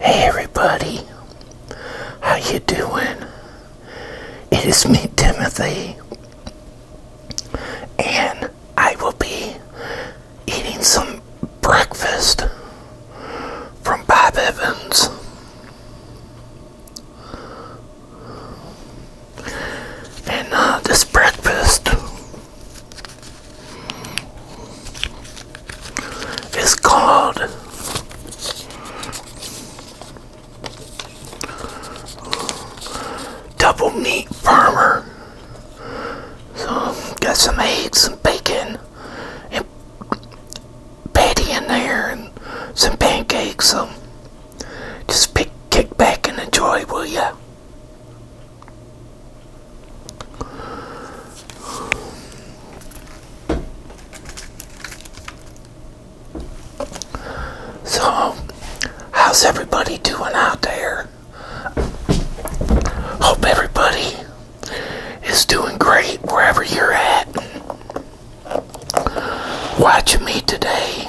Hey everybody, how you doing? It is me, Timothy, and I will be eating some breakfast from Bob Evans. And uh, this breakfast it's called Double Meat Farmer. So, got some eggs, some bacon, and patty in there, and some pancakes. So, just kick back and enjoy, will ya? So, how's everybody doing out there? Hope everybody is doing great wherever you're at. Watching me today.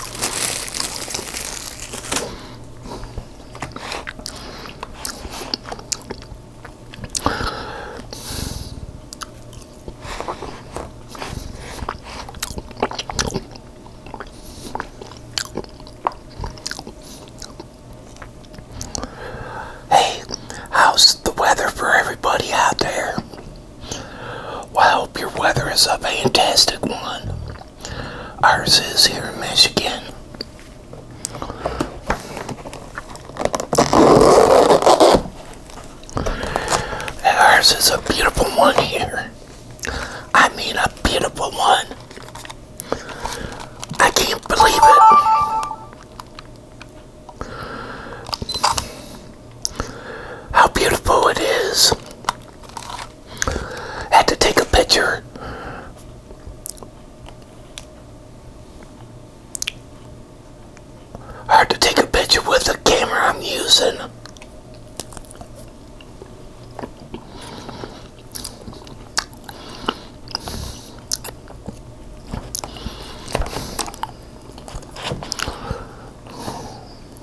Hey, how's the weather for everybody out there? I hope your weather is a fantastic one. Ours is here in Michigan. ours is a beautiful one here. I mean, a beautiful one. I can't believe it how beautiful it is. Had to take a picture. Hard to take a picture with the camera I'm using.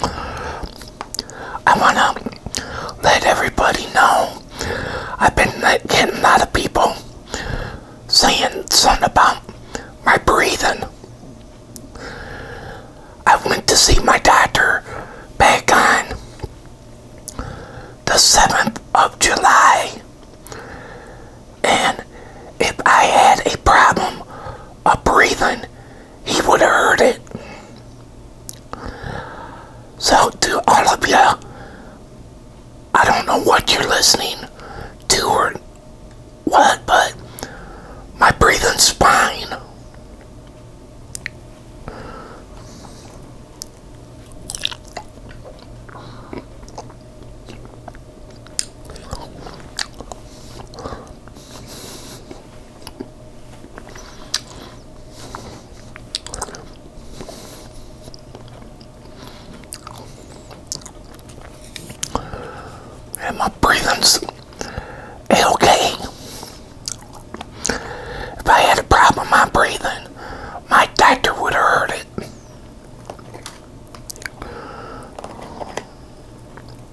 I wanna let everybody know I've been getting a lot of people saying something about my breathing. I went to see my doctor back on the 7th of July and if I had a problem of breathing he would have heard it. So, to all of you, I don't know what you're listening to or what, but my breathing spine. And my breathing's okay. If I had a problem with my breathing, my doctor would have heard it.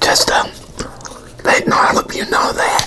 Just um, letting all of you know that.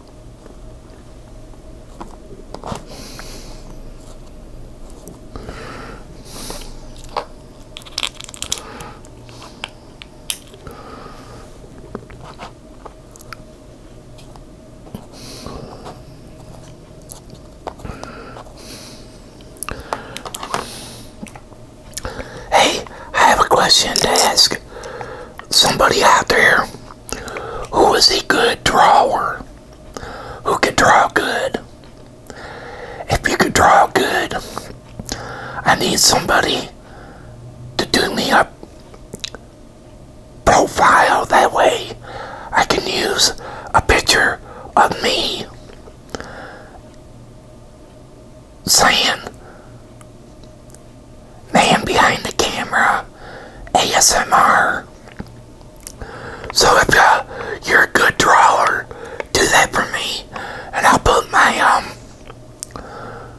Hey, I have a question to ask somebody out there. Who is a good drawer? who could draw good. If you could draw good, I need somebody to do me a profile. That way I can use a picture of me saying, man behind the camera, ASMR. So if you're a good drawer, do that for me, and I'll put my um,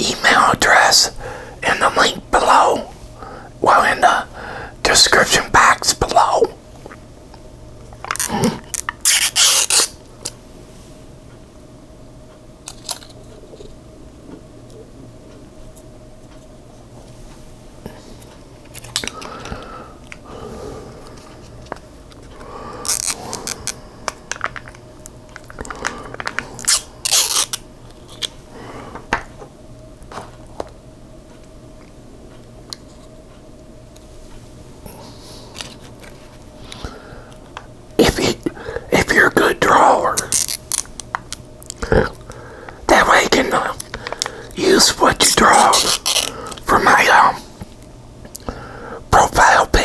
email address in the link below. Well, in the description box below. If you if you're a good drawer that way I can use what you draw for my um, profile pic.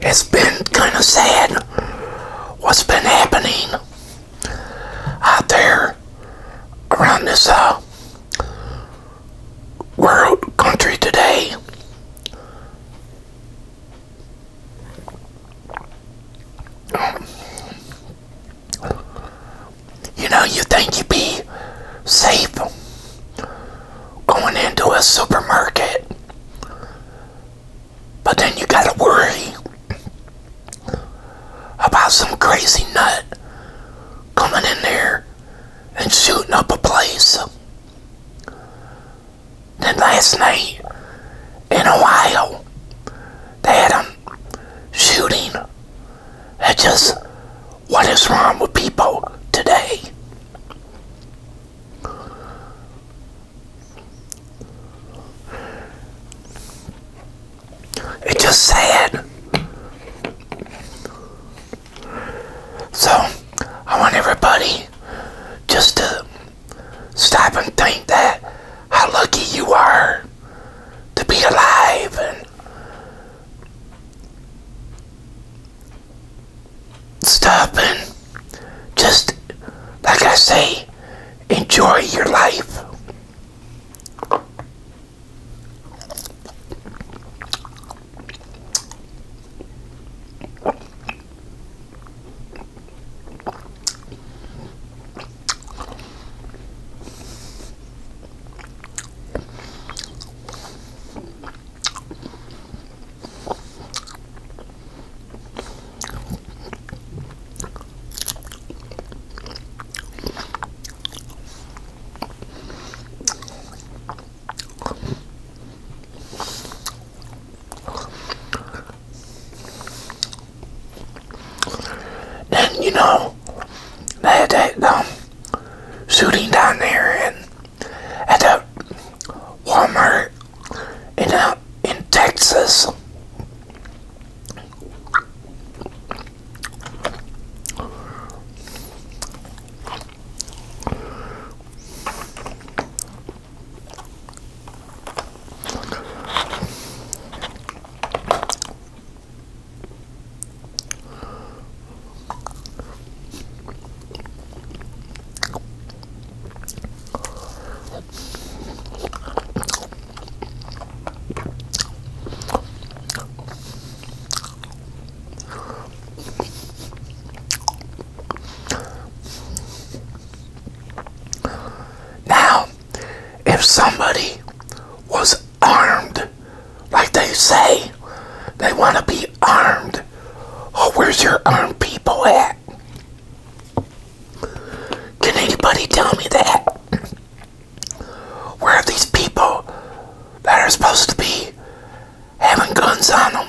It's been kind of sad what's been happening out there around this uh, world country today. You know, you think you'd be safe going into a supermarket, but then you gotta worry about some crazy nut coming in there and shooting up a place. Then last night in Ohio, they had them shooting that's just what is wrong with people today. It's just sad. So, I want everybody just to stop and think that how lucky you are to be alive and stuff and just like I say enjoy your life then you know they had that um, shooting down there and at that Walmart in uh, in Texas. Now, if somebody was armed. Like they say, they want to be armed. Oh, where's your armed people at? Can anybody tell me that? Where are these people that are supposed to be having guns on them?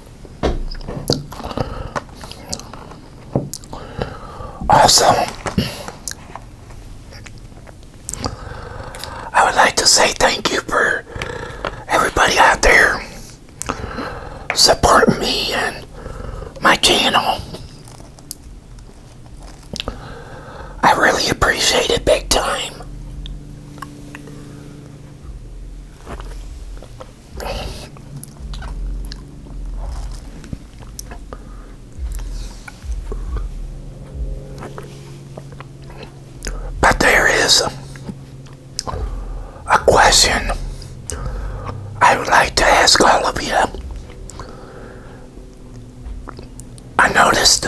Awesome. I would like to say thank you for everybody out there supporting me and my channel. I really appreciate it big time. But there is a question I would like to ask all of you. I noticed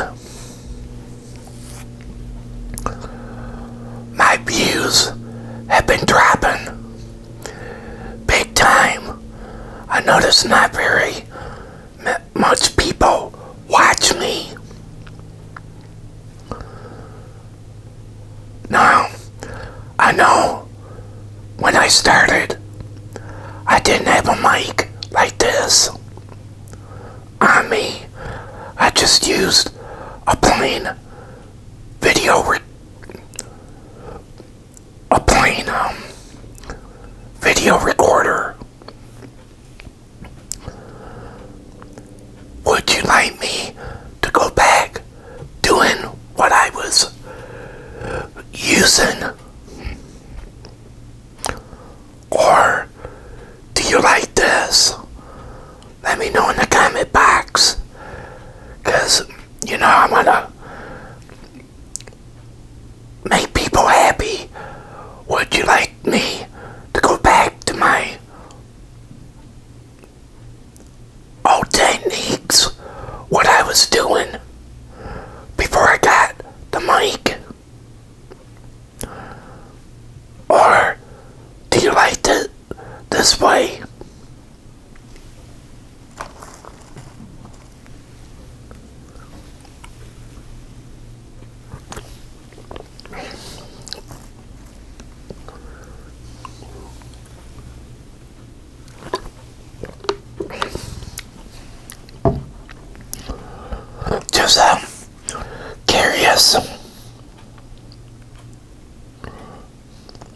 my views have been dropping big time. I notice not very much people watch me. Now, I know when I started, I didn't have a mic like this on me. I just used a plain video recorder a plain um, video recorder. Would you like me to go back doing what I was using? Or do you like this? let me know in the comment box. Because, you know, I am going to make people happy. Would you like me to go back to my old techniques? What I was doing before I got the mic? Or do you like it this way? Just um, curious.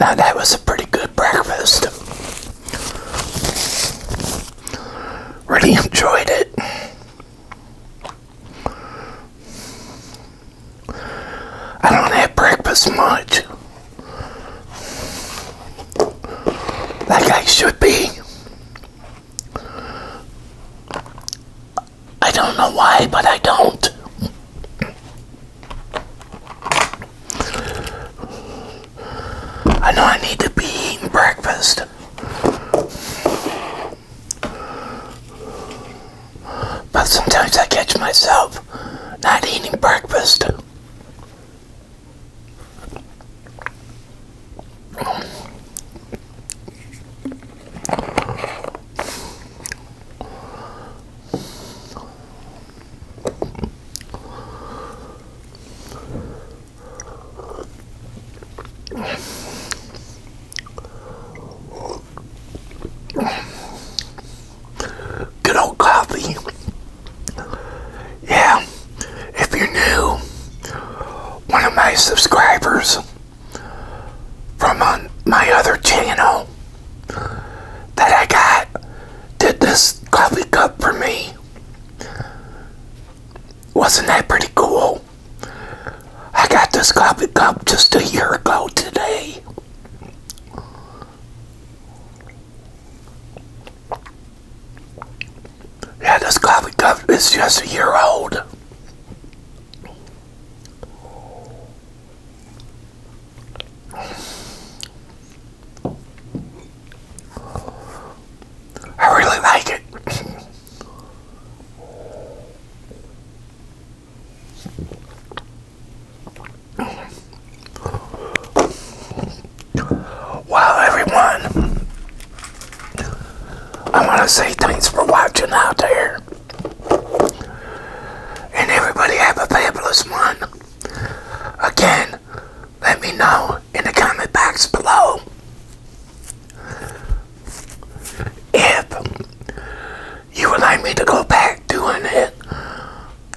Now that was a pretty good breakfast. Really enjoyed it. I don't have breakfast much. Like I should be. I don't know why, but I don't. I know I need to be eating breakfast. But sometimes I catch myself not eating breakfast. Good old coffee. Yeah, if you're new, one of my subscribers from on uh, my other channel that I got did this coffee cup for me. Wasn't that pretty cool? I got this coffee cup just a year ago today. Yeah, this coffee cup is just a year old. I really like it. Well, everyone, I want to say thanks for watching out there. And everybody have a fabulous one. Again, let me know in the comment box below if you would like me to go back doing it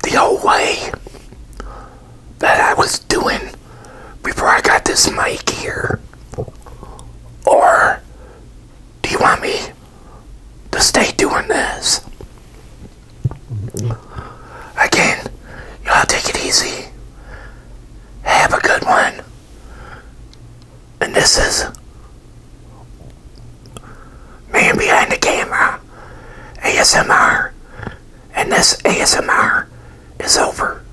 the old way that I was doing before I got this mic here. Or do you want me to stay doing this. Again, y'all take it easy. Have a good one. And this is Man Behind the Camera ASMR. And this ASMR is over.